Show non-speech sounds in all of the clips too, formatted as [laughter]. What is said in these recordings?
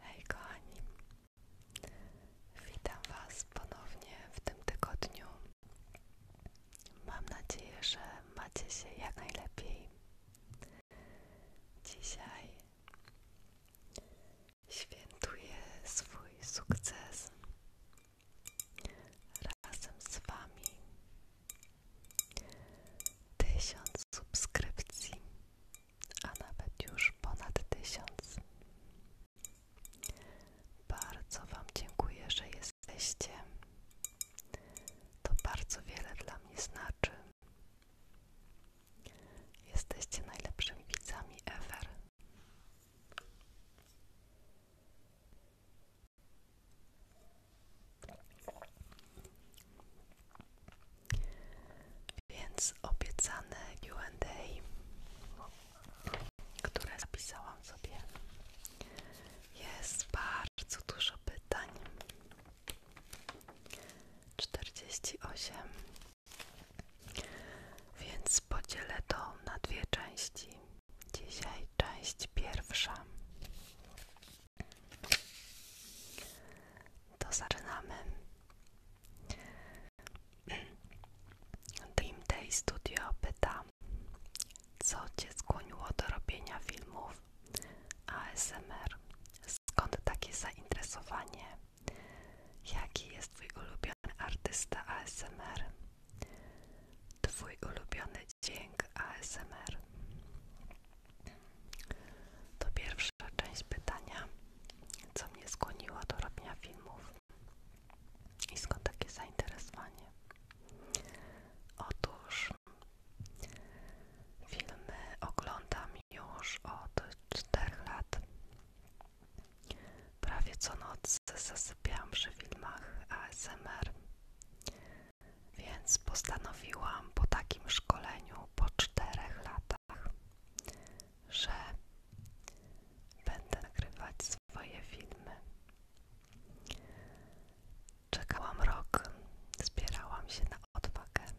Hej kochani, witam Was ponownie w tym tygodniu. Mam nadzieję, że macie się jak najlepiej. Dzisiaj świętuję swój sukces razem z Wami Tysiąc subskrypcji, a nawet już ponad tysiąc. Bardzo Wam dziękuję, że jesteście. To bardzo wiele dla mnie znaczy. Jesteście najlepszymi widzami ever. Więc obiecane Q&A, które zapisałam sobie, jest bardzo dużo pytań. 48. Więc podzielę to na dwie części. Dzisiaj część pierwsza. To zaczynamy. Dream Day Studio pyta, co Cię skłoniło do robienia filmów ASMR? Skąd takie zainteresowanie? Jaki jest Twój ulubiony artysta ASMR? Twój ulubiony dźwięk ASMR? To pierwsza część pytania, co mnie skłoniło do robienia filmów i skąd takie zainteresowanie. Otóż filmy oglądam już od 4 lat. Prawie co noc zasypiałam przy filmach ASMR więc postanowiłam po takim szkoleniu po czterech latach, że będę nagrywać swoje filmy. Czekałam rok, zbierałam się na odwagę,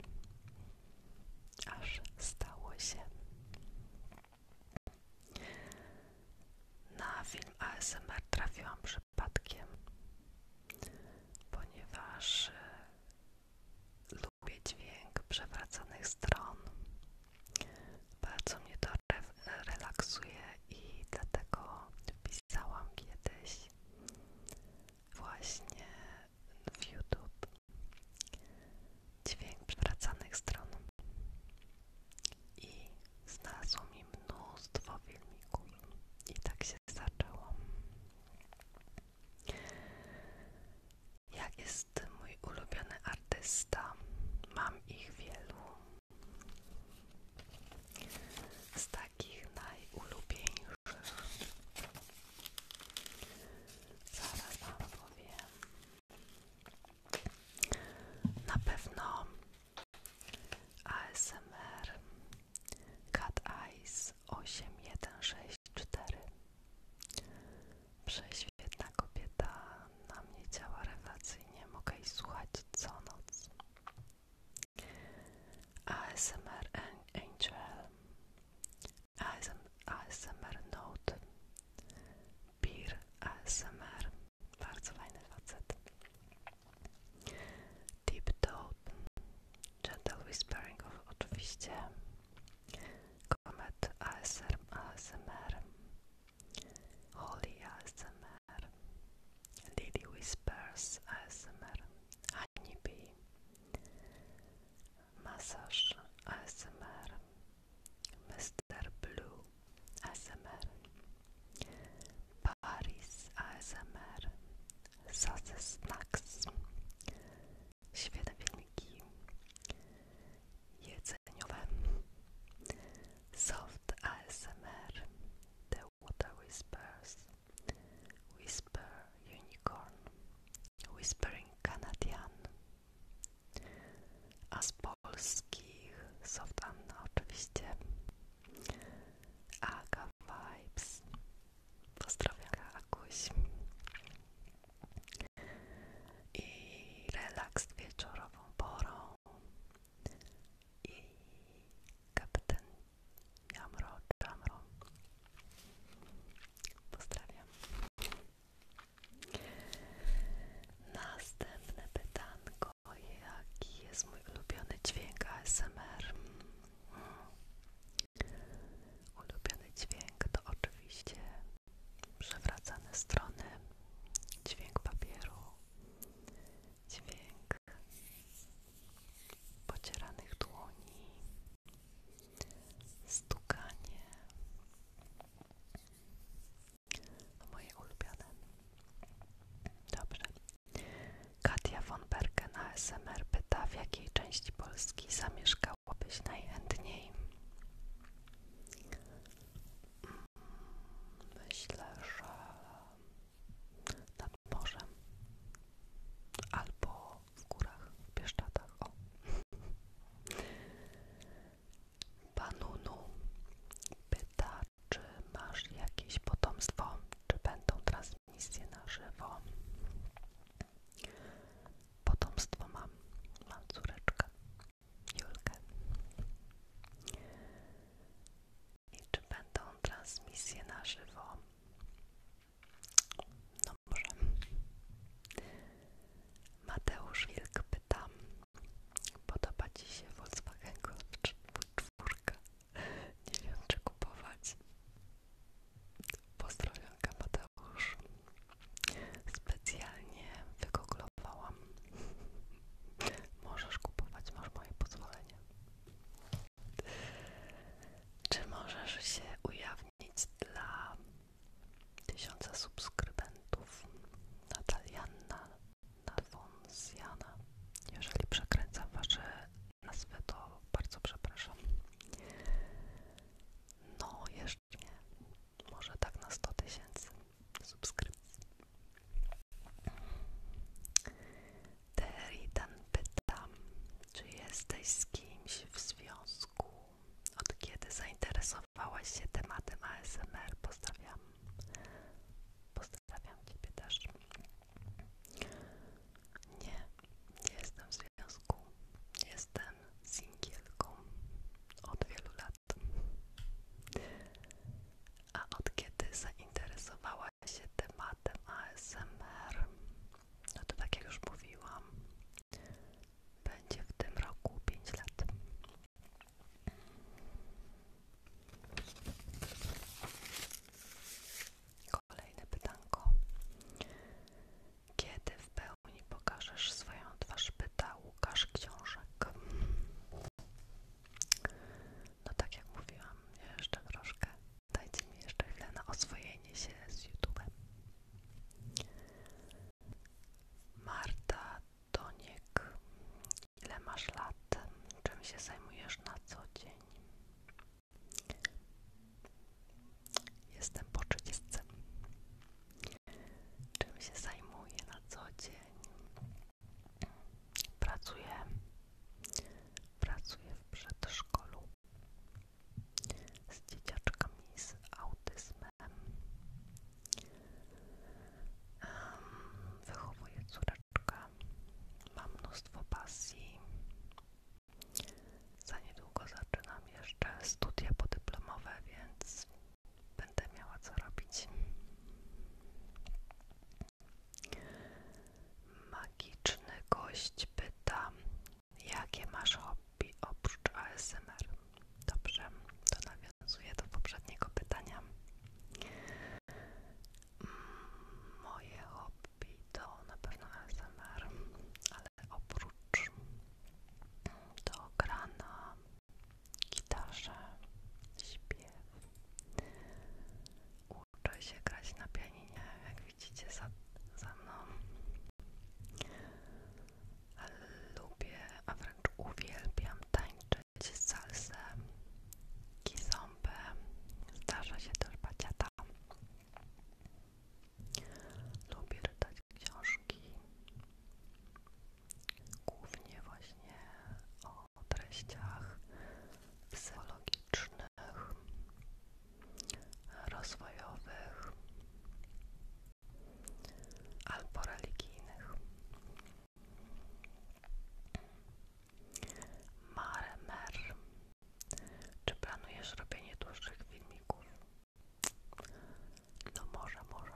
aż stało się. Na film ASMR trafiłam przy ponieważ e, lubię dźwięk przewracanych stron. Bardzo mnie to relaksuje i dlatego wpisałam kiedyś właśnie w YouTube dźwięk przewracanych stron i znalazło mi mnóstwo filmików i tak się zaczęło. Jak jest mój ulubiony artysta? Mam ich wielu. Z takich najulubieńszych. Zaraz wam powiem. Na pewno ASMR Cat Eyes 8164 Prześwietna kobieta na mnie działa rewelacyjnie, mogę jej słuchać co noc. ASMR Angel ASMR Note Beer ASMR Bardzo fajny facet Deep Thought, Gentle Whispering of oczywiście, Comet ASMR, Holy ASMR, lady Whispers ASMR, Honeybee, massage ASMR, Mr. Blue ASMR, Paris ASMR, Sasy Snacks. Świetne filmiki jedzeniowe. Soft ASMR. The Water Whispers. Whisper Unicorn. Whispering Canadian. A z polskich Soft Anna oczywiście. Aga Vibes. Pozdrawiam Akuś. I relaks wieczorową porą. I kapitan Jamro Jamro. Pozdrawiam. Następne pytanko. Jaki jest mój ulubiony dźwięk ASMR? Ulubiony dźwięk to oczywiście przewracane strony, dźwięk papieru, dźwięk pocieranych dłoni, stukanie. Moje ulubione. Dobrze. Katia von Bergen na SMR pyta, w jakiej części Polski zamieszkałabyś najchętniej? Mm, myślę, że nad morzem albo w górach, w Bieszczadach. O. Panunu pyta, czy masz jakieś potomstwo, czy będą trans transmisję na żywo. Potomstwo mam, mam córeczkę, Julkę. I czy będą transmisje na żywo? No może. Mateusz Wilk pyta, podoba Ci się Volkswagen czy 4? nie wiem czy kupować. Pozdrowionka Mateusz. Specjalnie wygoglowałam. Możesz kupować, masz moje pozwolenie. Czy możesz się ujawnić dla tysiąca subskrybentów? Natalianna Nafonsjana. Jeżeli przekręcam wasze na swój to bardzo przepraszam. No, jeszcze nie. Może tak na 100 tysięcy subskrypcji. Teritan pyta, czy jesteś z kimś w związku? Od kiedy zainteresowałaś się tematem ASMR? Pozdrawiam. Pozdrawiam Ciebie też. Nie, nie jestem w związku. Jestem singielką od wielu lat. A od kiedy zainteresowała się tematem ASMR, no to tak jak już mówiłam, będzie w tym roku 5 lat. Kolejne pytanko. Kiedy w pełni pokażesz swoją twarz? Pyta Łukasz Książek. No tak jak mówiłam, jeszcze troszkę. Dajcie mi jeszcze chwilę na oswojenie się z YouTube'em. Marta Doniek, ile masz lat? Czym się zajmujesz na co dzień? Jestem po 30. Czym się zajmuję na co dzień? Pracuję. Pracuję w przedszkolu z dzieciakami z autyzmem. Wychowuję córeczkę. Mam mnóstwo pasji. Za niedługo zaczynam jeszcze studia podyplomowe, więc będę miała co robić. Magiczny gość pyta, jakie masz hobby oprócz ASMR? Dobrze, to nawiązuję do poprzedniego pytania. Mm, moje hobby lubi, to na pewno ASMR, ale oprócz to gra na gitarze, śpiew. Uczę się grać na pianinie, jak widzicie za, za mną. Lubię, a wręcz uwielbiam tańczyć salsę, kizombę. Zdarza się też baciata. Lubię czytać książki, głównie właśnie o treściach psychologicznych, rozwojowych albo religijnych. Mare Mer. Czy planujesz robienie dłuższych filmików? No może, może.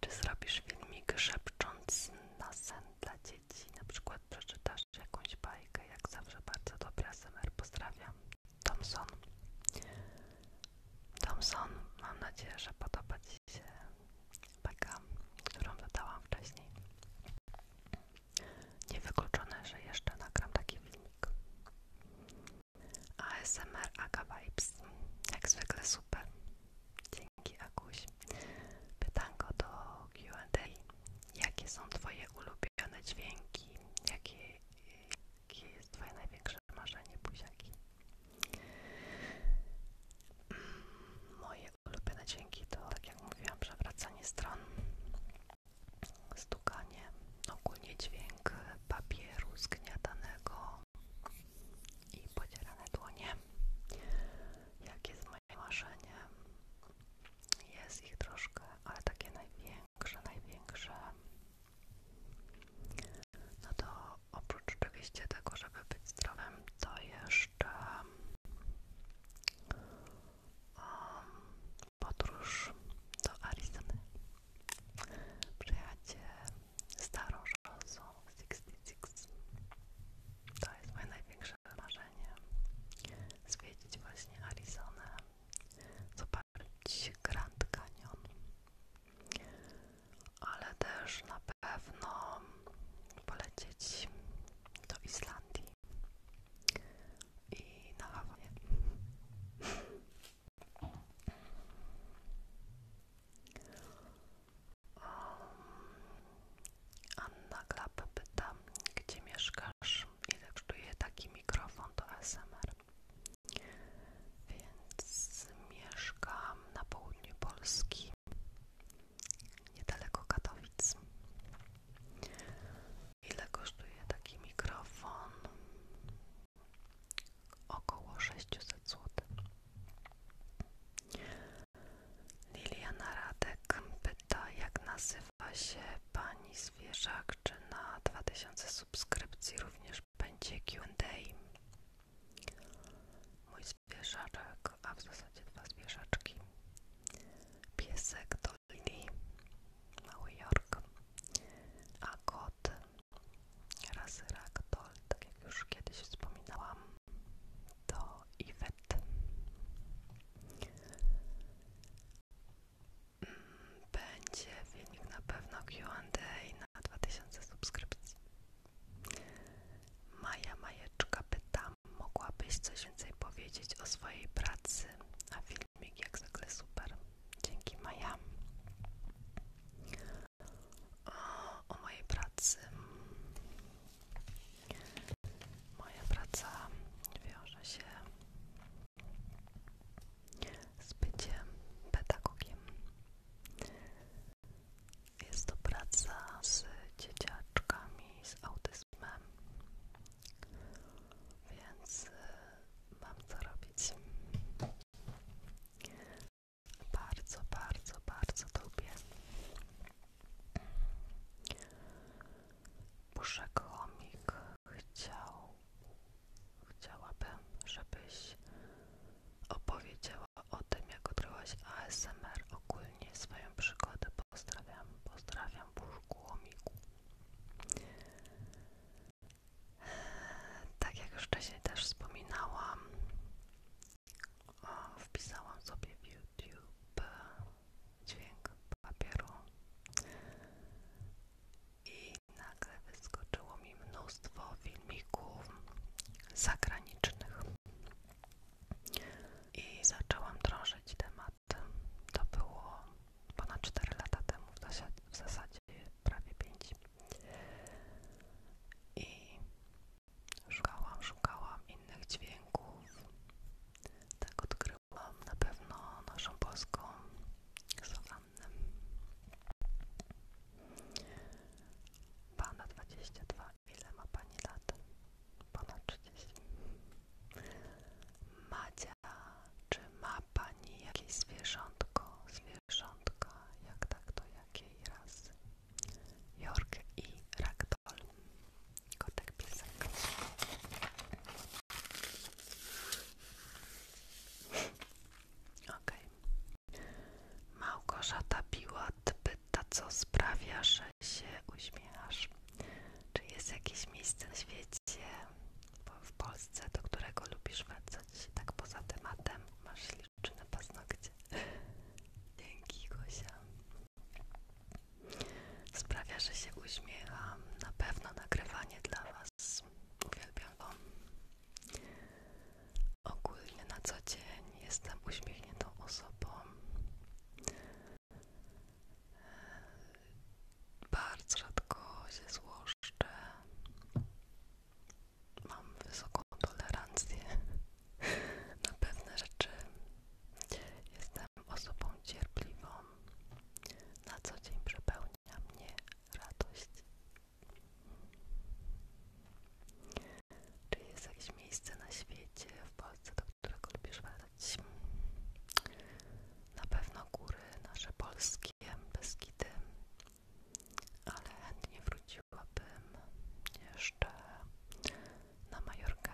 Czy zrobisz filmik szepcząc na sen dla dzieci? Na przykład przeczytasz jakąś bajkę, jak zawsze bardzo dobra? ASMR. Pozdrawiam. Thompson. Thompson, mam nadzieję, że podoba Ci się bajka, którą wydałam wcześniej. Niewykluczone, że jeszcze nagram taki filmik. ASMR Aga Vibes. Jak zwykle super. Dzięki Akuś. go do Q&A. Jakie są Twoje ulubione dźwięki? Jakie, jakie jest Twoje największe marzenie, buziaki? Mm, moje moje ulubione dźwięki to, tak jak mówiłam, przewracanie stron, stukanie, ogólnie dźwięk papieru zgniatanego i podzierane dłonie. Jakie jest moje marzenie? Jest ich troszkę, ale takie największe, największe. No to oprócz oczywiście tego, żeby być zdrowym, to jeszcze podróż do Arizony. Przyjacie starą szosą 66. To jest moje największe marzenie. Zwiedzić właśnie Arizonę, zobaczyć Grand Canyon. Ale też na pewno polecieć do Islandii i na Hawanie. Um, Anna Klapę pyta, gdzie mieszkasz, ile kosztuje taki mikrofon do ASMR. Więc mieszkam na południu Polski, niedaleko Katowic. Ile kosztuje taki mikrofon? Około 600 zł. Liliana Radek pyta, jak nazywa się pani zwierzak, czy na 2000 subskrypcji również będzie Q&A. Mój zwierzaczek a w zasadzie dwa zwierzaczki. Piesek Dolly, Mały Jork, a kot rasy Ragdoll, tak jak już kiedyś wspominałam, to Iwet. Mm, będzie filmik na pewno Q&A na 2000 subskrypcji. Maja Majeczka pyta mogłabyś coś więcej powiedzieć o swojej pracy? A filmik jak zwykle super. Dzięki Maja. O mojej pracy. Moja praca wiąże się z byciem pedagogiem. Jest to praca z dzieciaczkami z autyzmem wyspę. Więc y, mam to robić. Bardzo, bardzo, bardzo lubię. Muszę komik chciał, chciałabym, żebyś opowiedziała o tym, jak odkryłaś ASMR ogólnie swoją przygodę pozdrawiam, pozdrawiam Burzku Łomiku. Tak jak już wcześniej też wspominałam, wpisałam sobie w YouTube dźwięk papieru i nagle wyskoczyło mi mnóstwo filmików zagranicznych. I zaczęłam drążyć temat to było ponad 4 lata temu, w zasadzie, prawie 5. I szukałam, szukałam innych dźwięków. Tak odkryłam na pewno naszą polską sawannę. Pana 22 ile ma pani lat? Ponad 30. Macia, czy ma pani jakieś zwierzątko? Zwierzątka, jak tak, to jakiej rasy? Jork i Ragdoll. Kotek, piesek. Okej. Okay. Małgorzata Biłat by ta co sprawia, że się uśmiechasz. Czy jest jakieś miejsce na świecie, w Polsce, do którego lubisz wracać tak poza tematem? Masz na paznokcie. Dzięki, Gosia. Sprawia, że się uśmiecham. Na pewno nagrywanie dla Was. Uwielbiam Wam. Ogólnie na co dzień jestem uśmiechniętą osobą. Bardzo rzadko się złoszczę. Mam wysoką tolerancję na pewne rzeczy. Jestem osobą cierpliwą. Na co dzień przepełnia mnie radość. Czy jest jakieś miejsce na świecie, w Polsce, do którego lubisz badać. Na pewno góry nasze polskie, Beskidy, ale chętnie wróciłabym jeszcze na Majorkę.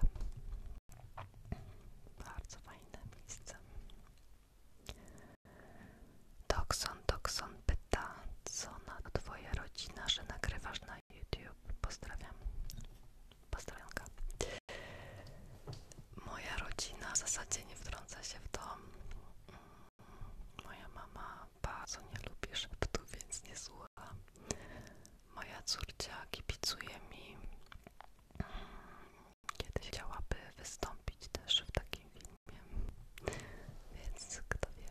Bardzo fajne miejsce. Dokson, Dokson pyta, co na twoja rodzina, że nagrywasz na YouTube. Pozdrawiam. Pozdrowionka. Moja rodzina w zasadzie nie wtrąca się w to. Moja mama bardzo nie lubi szeptu, więc nie słucha. Moja córka kibicuje mi. Kiedyś chciałaby wystąpić też w takim filmie, więc kto wie.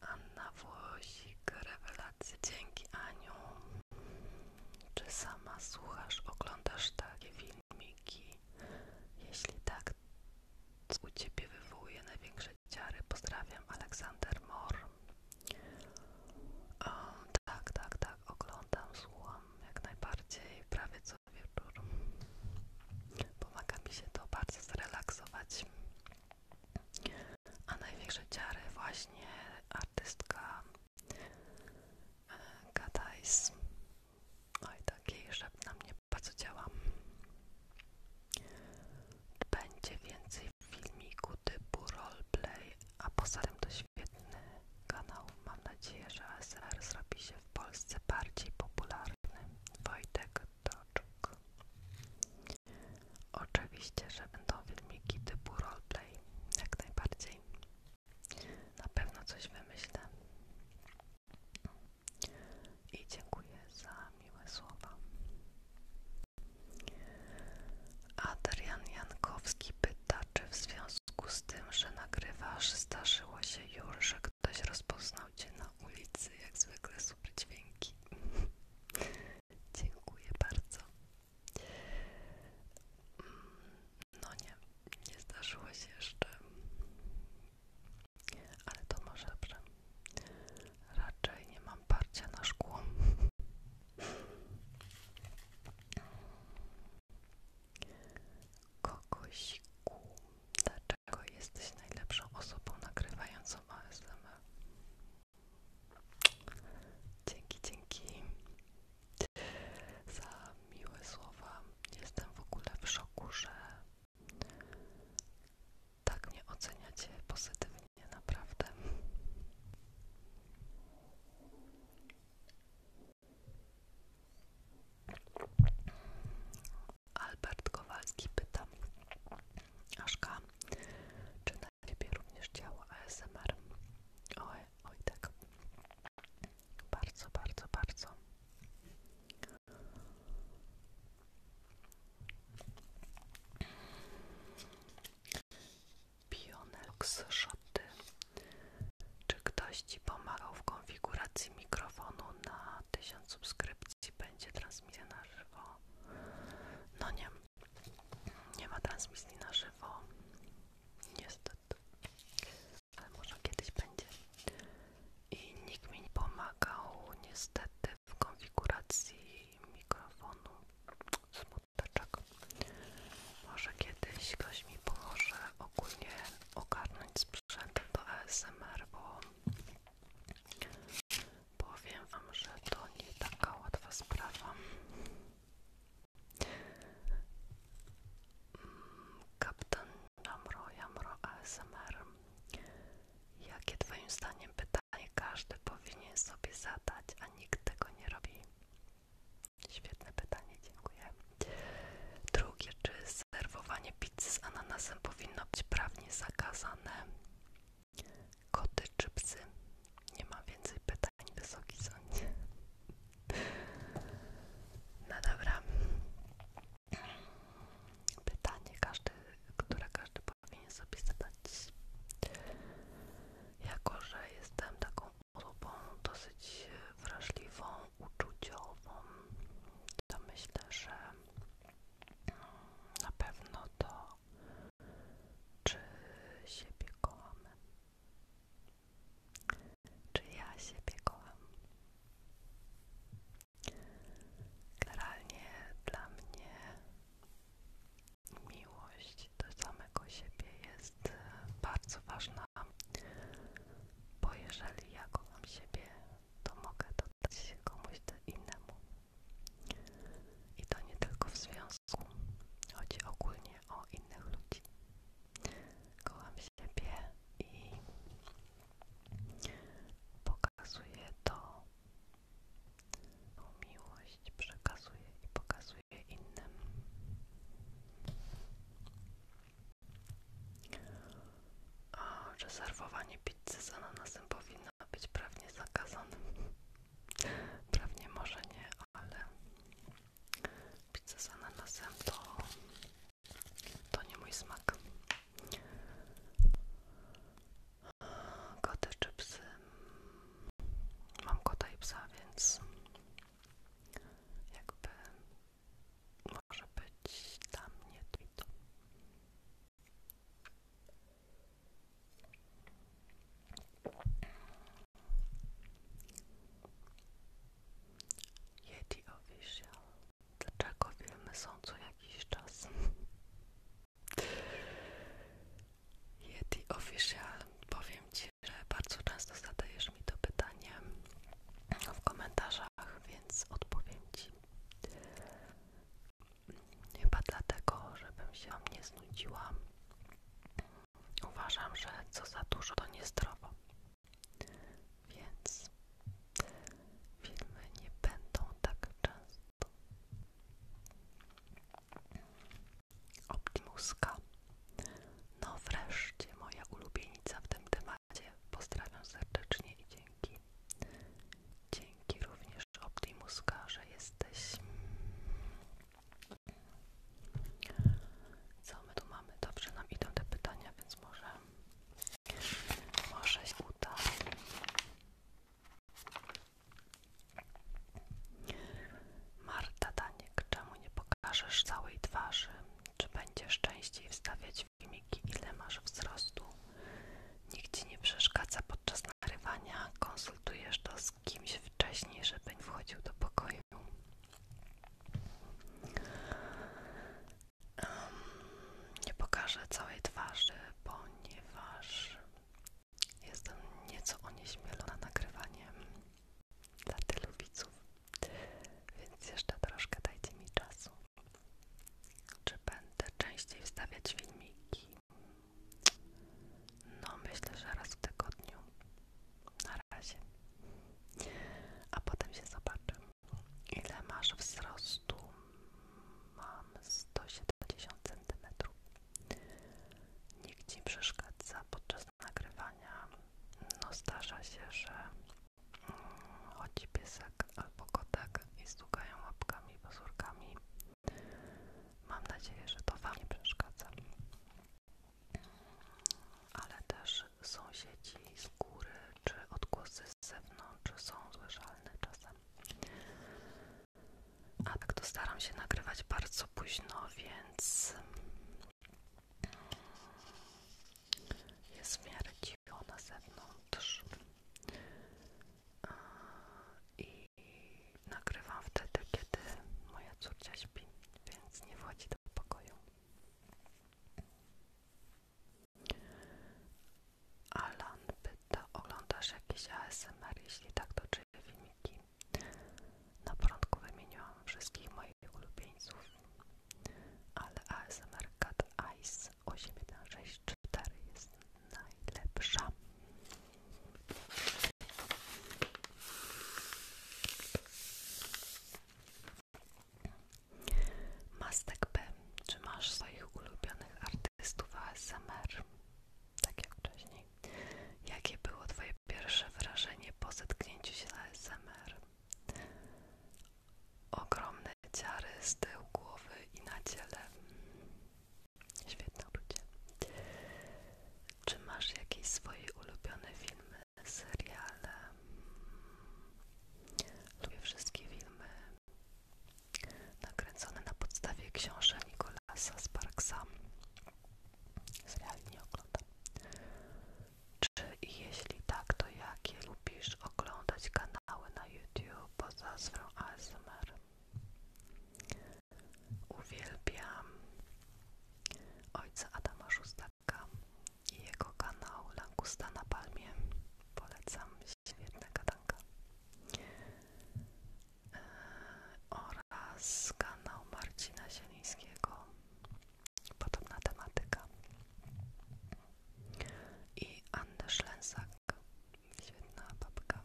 Anna Włosik, rewelacje Dzięki Aniu. Czy sama słuchasz, oglądasz takie filmiki? Jeśli tak, u Ciebie wywołuje największe ciary. Pozdrawiam, Aleksander Mor. tak, tak, tak, oglądam, słucham jak najbardziej, prawie co wieczór. Pomaga mi się to bardzo zrelaksować a największe ciary właśnie artystka e, Gadais. Oj, no takiej jej na mnie bardzo działa. Będzie więcej filmiku typu roleplay, a poza tym to świetny kanał. Mam nadzieję, że ASR zrobi się w Polsce bardziej popularny. Wojtek Toczuk. Oczywiście, że będą filmiki typu roleplay, jak najbardziej. Na pewno coś wymyślę. I dziękuję za miłe słowa. Adrian Jankowski pyta, czy w związku z tym, że nagrywasz, zdarzyło się już, że ktoś rozpoznał cię na ulicy, jak zwykle super dźwięki. Dziękuję bardzo. Mm, no nie, nie zdarzyło się jeszcze, ale to może dobrze. Raczej nie mam parcia na szkło. Kokosiku, dlaczego jesteś najlepszą osobą nagrywającą ASMR? Dzięki, dzięki za miłe słowa. Jestem w ogóle w szoku, że tak mnie oceniacie pozytywnie, naprawdę. Albert Kowalski pyta Aszka, czy na? na również działa ASMR. Oj, oj tak. Bardzo, bardzo, bardzo. Pionex Shoty. Czy ktoś Ci pomagał w konfiguracji mikrofonu na 1000 subskrypcji? Będzie transmisja na żywo? No nie, nie ma transmisji na żywo. Niestety. Ale może kiedyś będzie. I nikt mi nie pomagał niestety w konfiguracji mikrofonu. Smuteczek. Może kiedyś ktoś mi pomoże ogólnie ogarnąć sprzęt do ASMR, bo Powiem Wam, że to nie taka łatwa sprawa. Mm, kapitan Jamro, Jamro ASMR. Jakie Twoim zdaniem pytanie każdy powinien sobie zadać, a nikt tego nie robi? Świetne pytanie, dziękuję. Drugie, czy serwowanie pizzy z ananasem powinno być prawnie zakazane? Koty czy psy? Nie ma więcej pytań, wysoki sądzie. No dobra. Pytanie, które każdy powinien sobie zadać. Jako, że jestem taką osobą dosyć wrażliwą, uczuciową, to myślę, że na pewno to czy siebie kochamy. Czy ja siebie kocham? Generalnie dla mnie miłość do samego siebie jest e, bardzo ważna, bo jeżeli ja kocham siebie, to mogę dodać komuś innemu. I to nie tylko w związku, chodzi ogólnie o innych ludzi. Kocham siebie i pokazuję to, tą miłość przekazuję i pokazuję innym. A rezerwowanie pizzy z ananasem powinno być prawnie zakazane. Prawnie może nie, ale pizzę z ananasem to, to nie mój smak. Koty czy psy? Mam kota i psa, więc jakby może być tam nie to. Yeti Official. Dlaczego filmy są co jakiś czas? Yeti Official. Powiem Ci, że bardzo często zadajesz mi to pytanie w komentarzach, więc odpowiem Ci. Chyba dlatego, żebym się nie znudziła. Uważam, że co za dużo to niezdrowo. Więc filmy nie będą tak często. Optimuska. No wreszcie moja ulubienica w tym temacie. Pozdrawiam serdecznie i dzięki. Dzięki również Optimuska, że jesteś. Co my tu mamy? Dobrze nam idą te pytania, więc może, może się uda. Marta Daniek, czemu nie pokażesz całej twarzy? Czy będziesz częściej wstawiać filmiki? Ile masz wzrostu? Nikt ci nie przeszkadza podczas nagrywania, konsultujesz to z kimś wcześniej, żeby nie wchodził do pokoju. Nie pokażę całej twarzy, ponieważ jestem nieco onieśmielona nagrywaniem dla tylu widzów, więc jeszcze troszkę dajcie mi czasu. Czy będę częściej wstawiać filmiki? No, myślę, że raz w tygodniu. Na razie. A potem się zobaczy. Ile masz wzrostu? Mam 170 cm. Nikt ci przeszkadza podczas nagrywania. No, zdarza się, że mm, chodzi piesek albo kotek i stukają łapkami, pozórkami. Mam nadzieję, że to Wam nie przeszkadza. Ale też sąsiedzi z góry czy odgłosy z zewnątrz są słyszalne czasem. A tak to staram się nagrywać bardzo późno, więc jest w miarę cicho na zewnątrz nagrywam wtedy, kiedy moja córka śpi, więc nie wchodzi do pokoju. Alan pyta, oglądasz jakieś ASMR? Jeśli tak, to czyje filmiki? Na początku wymieniłam wszystkich moich ulubieńców, ale ASMR Cat Ice 8164 jest najlepsza. Mastek P. Czy masz swoich ulubionych artystów ASMR? Tak jak wcześniej. Jakie było Twoje pierwsze wrażenie po zetknięciu się z ASMR? Ogromne ciary z tyłu głowy i na ciele. Świetne uczucie. Czy masz jakieś swoje ulubione filmy, seriale? Lubię wszystkie filmy nakręcone na podstawie książek Nicolasa Sparksa. Seriali nie oglądam. Czy i jeśli tak, to jakie lubisz oglądać kanały na YouTube poza sferą Uwielbiam ojca Adama Szóstaka i jego kanał Langusta na Palmie. Polecam, świetna gadanka. E, oraz kanał Marcina Zielińskiego. Podobna tematyka. I Anny Szlensak. Świetna babka.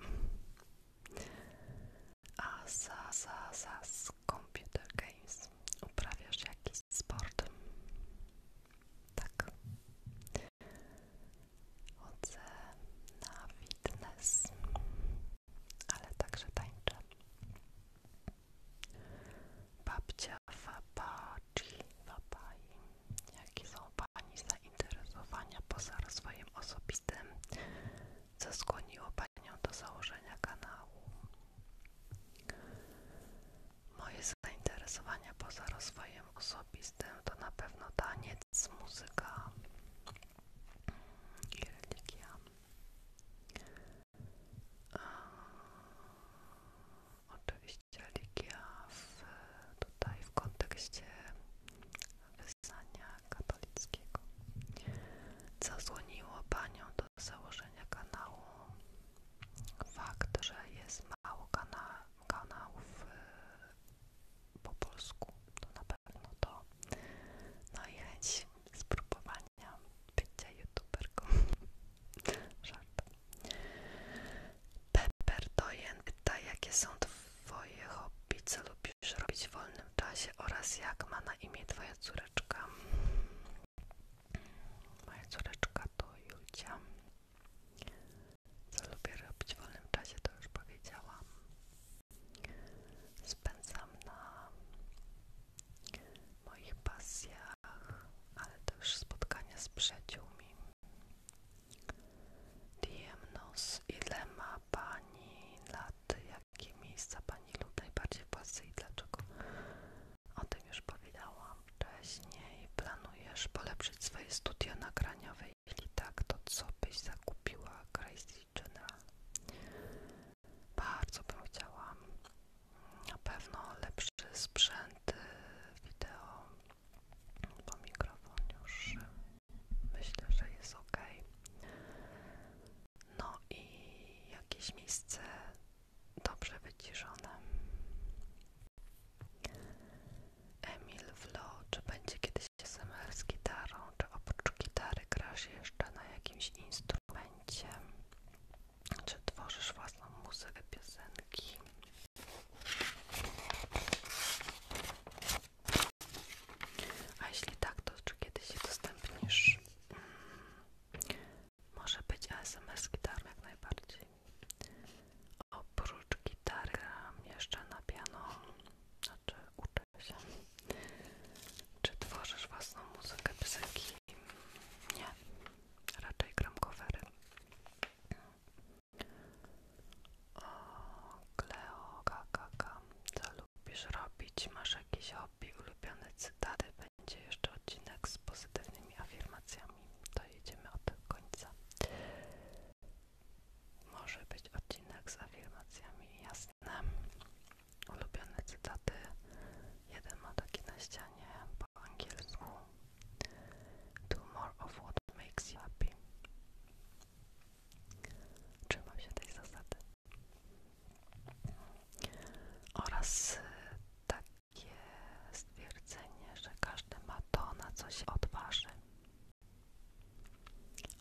A za, za, za z Computer Games uprawiasz jakiś sport? Tak. Chodzę na fitness, ale także tańczę. Babcia Fabaci, Fabai. Jakie są Pani za zainteresowania poza rozwojem osobistym, co skłoniło Panią do założenia kanału. Moje zainteresowania poza rozwojem osobistym to na pewno taniec, muzyka i religia. Oczywiście religia w, tutaj w kontekście wyznania katolickiego, co złoniło panią do założenia kanału. Fakt, że jest mało kana kanałów yy, po polsku, to na pewno to. No i chęć spróbowania bycia youtuberką. [laughs] Żart. Pepper Doyen pyta, jakie są Twoje hobby, co lubisz robić w wolnym czasie oraz jak ma na imię Twoja córeczka? Moja córeczka to Julia. Co lubię robić w wolnym czasie, to już powiedziałam. Spędzam na moich pasjach, ale też spotkania z przyjaciółmi. Diemnos, ile ma Pani lat? Jakie miejsca Pani lub najbardziej w Polsce i dlaczego? O tym już powiedziałam wcześniej. Planujesz polepszyć swoje studia nagraniowe? Jeśli tak, to co byś zakupiła Crazy General? Bardzo bym chciała na pewno lepszy sprzęt y, wideo, bo mikrofon już Myślę, że jest ok. No i jakieś miejsce dobrze wyciszone. Emil Vlo, czy będzie kiedyś SMR z gitarą, czy oprócz gitary grasz jeszcze na jakimś instrumencie? Czy tworzysz własną muzykę, piosenki? A jeśli tak, to czy kiedyś się udostępnisz? Mm, może być SMS gitar jak najbardziej. Oprócz gitary gram jeszcze na piano, znaczy uczysz się. Czy tworzysz własną muzykę, piosenki? Nie, raczej gram covery. O, Kleo, kakaka, co lubisz robić? Masz jakieś hobby, ulubione cytaty? Będzie jeszcze odcinek z pozytywnymi afirmacjami. To jedziemy od końca. Może być odcinek z afirmacjami, jasne. Ulubione cytaty. Jeden ma taki na ścianie po angielsku. Do more of what makes you happy. Trzymam się tej zasady. Oraz y, takie stwierdzenie, że każdy ma to, na co się odważy.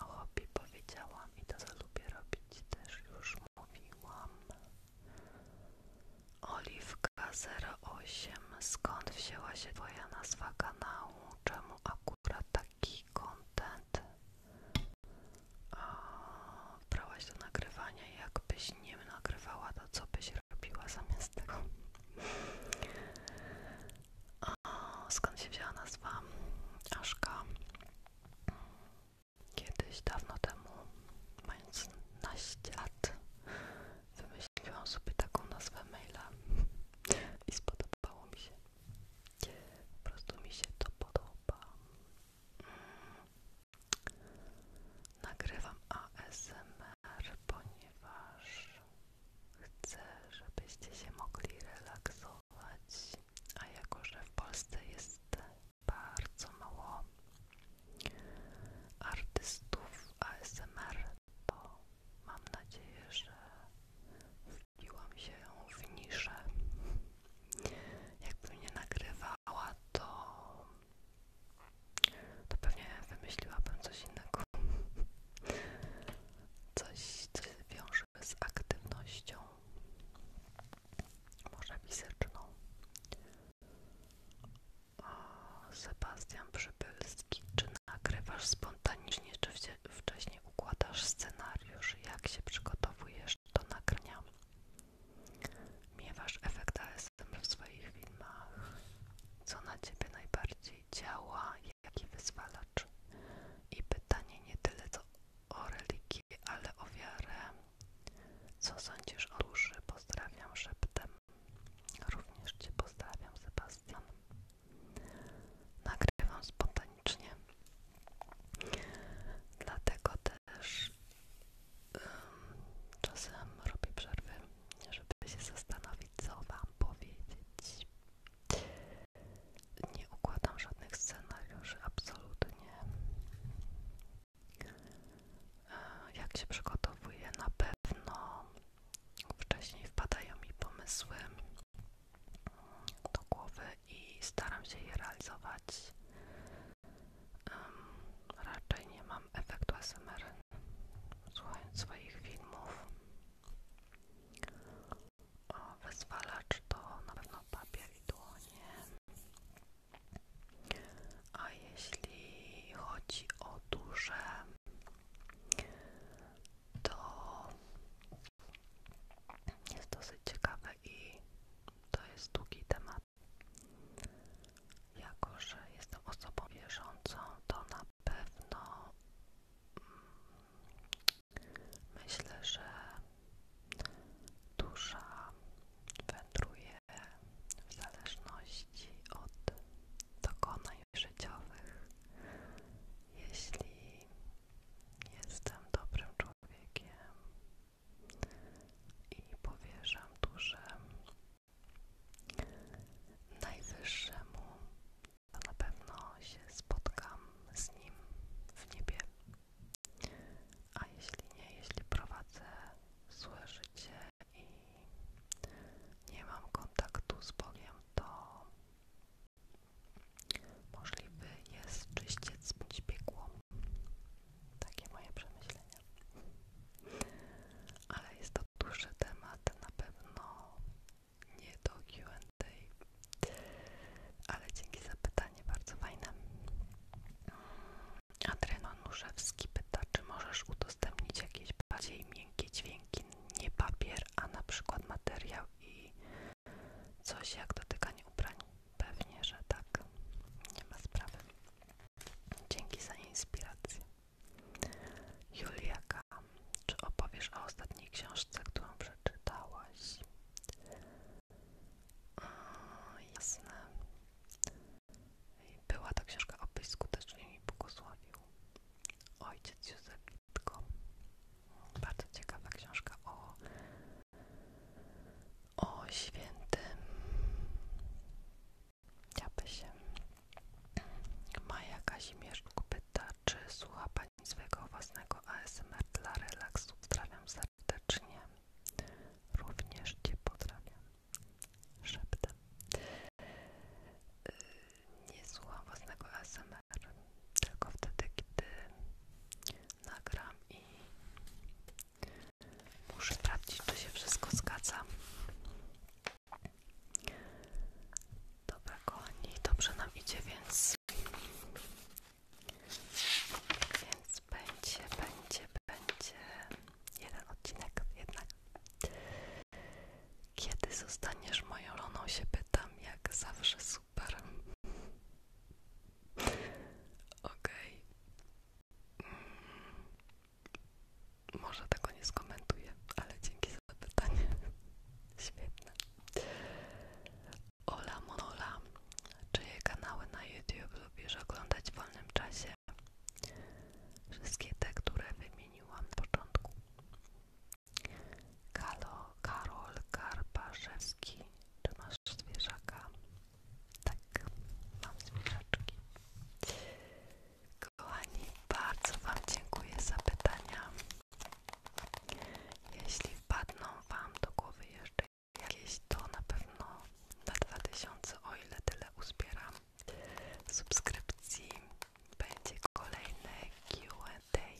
O hobby powiedziałam i to, co lubię robić, też już mówiłam. Oliwka 08. Skąd wzięła się Twoja nazwa kanału? Czemu akurat taki taki content. Brałaś do nagrywania, jakbyś nie nagrywała, to co byś robiła zamiast tego? skąd się wzięła nazwa Aszka? Kiedyś, dawno temu, mając naście lat, wymyśliłam sobie taką nazwę maila i spodobało mi się. Po prostu mi się to podoba. Mm. Nagrywam ASMR, ponieważ chcę, żebyście się mogli relaksować, a jako, że w Polsce jest bardzo mało artystów ASMR, to mam nadzieję, że w Biłam się w niszę. Jakby mnie nagrywała, to, to pewnie wymyśliłabym coś innego. Coś, co się wiąże z aktywnością, może fizyczną. Sebastian Przybylski czy Nagrywasz spontanicznie, czy wcześniej układasz scenariusz, jak się przygotowujesz do nagrania. Miewasz efekt ASMR w swoich filmach. Co na ciebie najbardziej działa, jaki wyzwalacz? I pytanie nie tyle co o religię, ale o wiarę. Co sądzisz o duszy? Pozdrawiam szeptem. Również Cię pozdrawiam, Sebastian nagrywam spontanicznie. Dlatego też czasem robię przerwy, żeby się zastanowić, co Wam powiedzieć. Nie układam żadnych scenariuszy, absolutnie. E, jak się przygotowuję, na pewno wcześniej wpadają mi pomysły, do głowy i staram się je realizować. raczej nie mam efektu ASMR słuchając swoich filmów. O, wyzwalacz to na pewno papier i dłonie. A jeśli chodzi o duże to jest dosyć ciekawe i to jest długi temat. Jako, że jestem osobą wierzącą, to na pewno mm, myślę, że dusza wędruje w zależności od dokonań życiowych. Jeśli Jestem dobrym człowiekiem i powierzam duszę najwyższemu. Na pewno się spotkam z nim w niebie. A jeśli nie, jeśli prowadzę złe życie i nie mam kontaktu z Bogiem, to Możliwy jest czyściec bądź piekło. Takie moje przemyślenia. Ale jest to duży temat, na pewno nie do Q&A, ale dzięki za pytanie, bardzo fajne. Adrian Nuszewski pyta, czy możesz udostępnić jakieś bardziej miękkie dźwięki, nie papier, a na przykład materiał i coś jak dotykanie ubrań. Pewnie, że tak. Nie ma sprawy. Dzięki za inspirację. Julia, czy opowiesz o ostatniej książce, którą przeczytałaś? Mm, jasne. Była ta książka o Obyś skutecznie mi błogosławił. Ojciec Józef bardzo ciekawa książka o, o świętym Japesie. Maja Kazimierzczuk pyta, czy słucha Pani swojego własnego ASMR dla relaksu. Pozdrawiam serdecznie. Również Cię pozdrawiam. Szeptem nie słucham własnego ASMR, tylko wtedy, kiedy nagram i muszę sprawdzić, czy się wszystko zgadza. Dobra, kochani, dobrze nam idzie, więc więc będzie, będzie, będzie jeden odcinek jednak. Kiedy zostaniesz moją loną się pytam, jak zawsze super. Okej. Mm, może tego nie skomentuję, ale dzięki za pytanie. [laughs] Świetne. Ola Monola. Czyje kanały na YouTube lubisz oglądać w wolnym czasie? Wszystkie te, które wymieniłam na początku. Kalo, Karol Karbarzewski, czy masz zwierzaka? Tak, mam zwierzaczki. Kochani, bardzo Wam dziękuję za pytania. Jeśli wpadną Wam do głowy jeszcze jakieś, to na pewno na dwa tysiące o ile tyle uzbieram subskrypcji, będzie kolejne QA tej.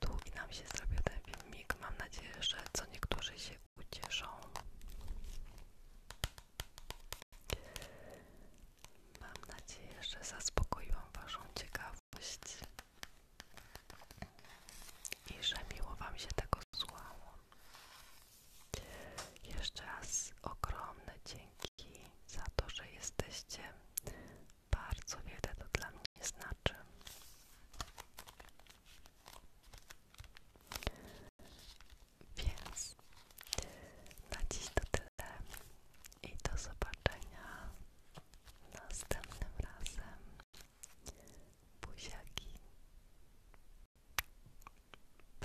Długi nam się zrobił ten filmik. Mam nadzieję, że co niektórzy się ucieszą. Mam nadzieję, że zaspokoiłam Waszą ciekawość i że miło Wam się tego słuchało. Jeszcze raz ogromne dzięki za to, że jesteście bardzo wiele to dla znaczy. Więc na dziś to tyle i do zobaczenia następnym razem. Buziaki. Pa.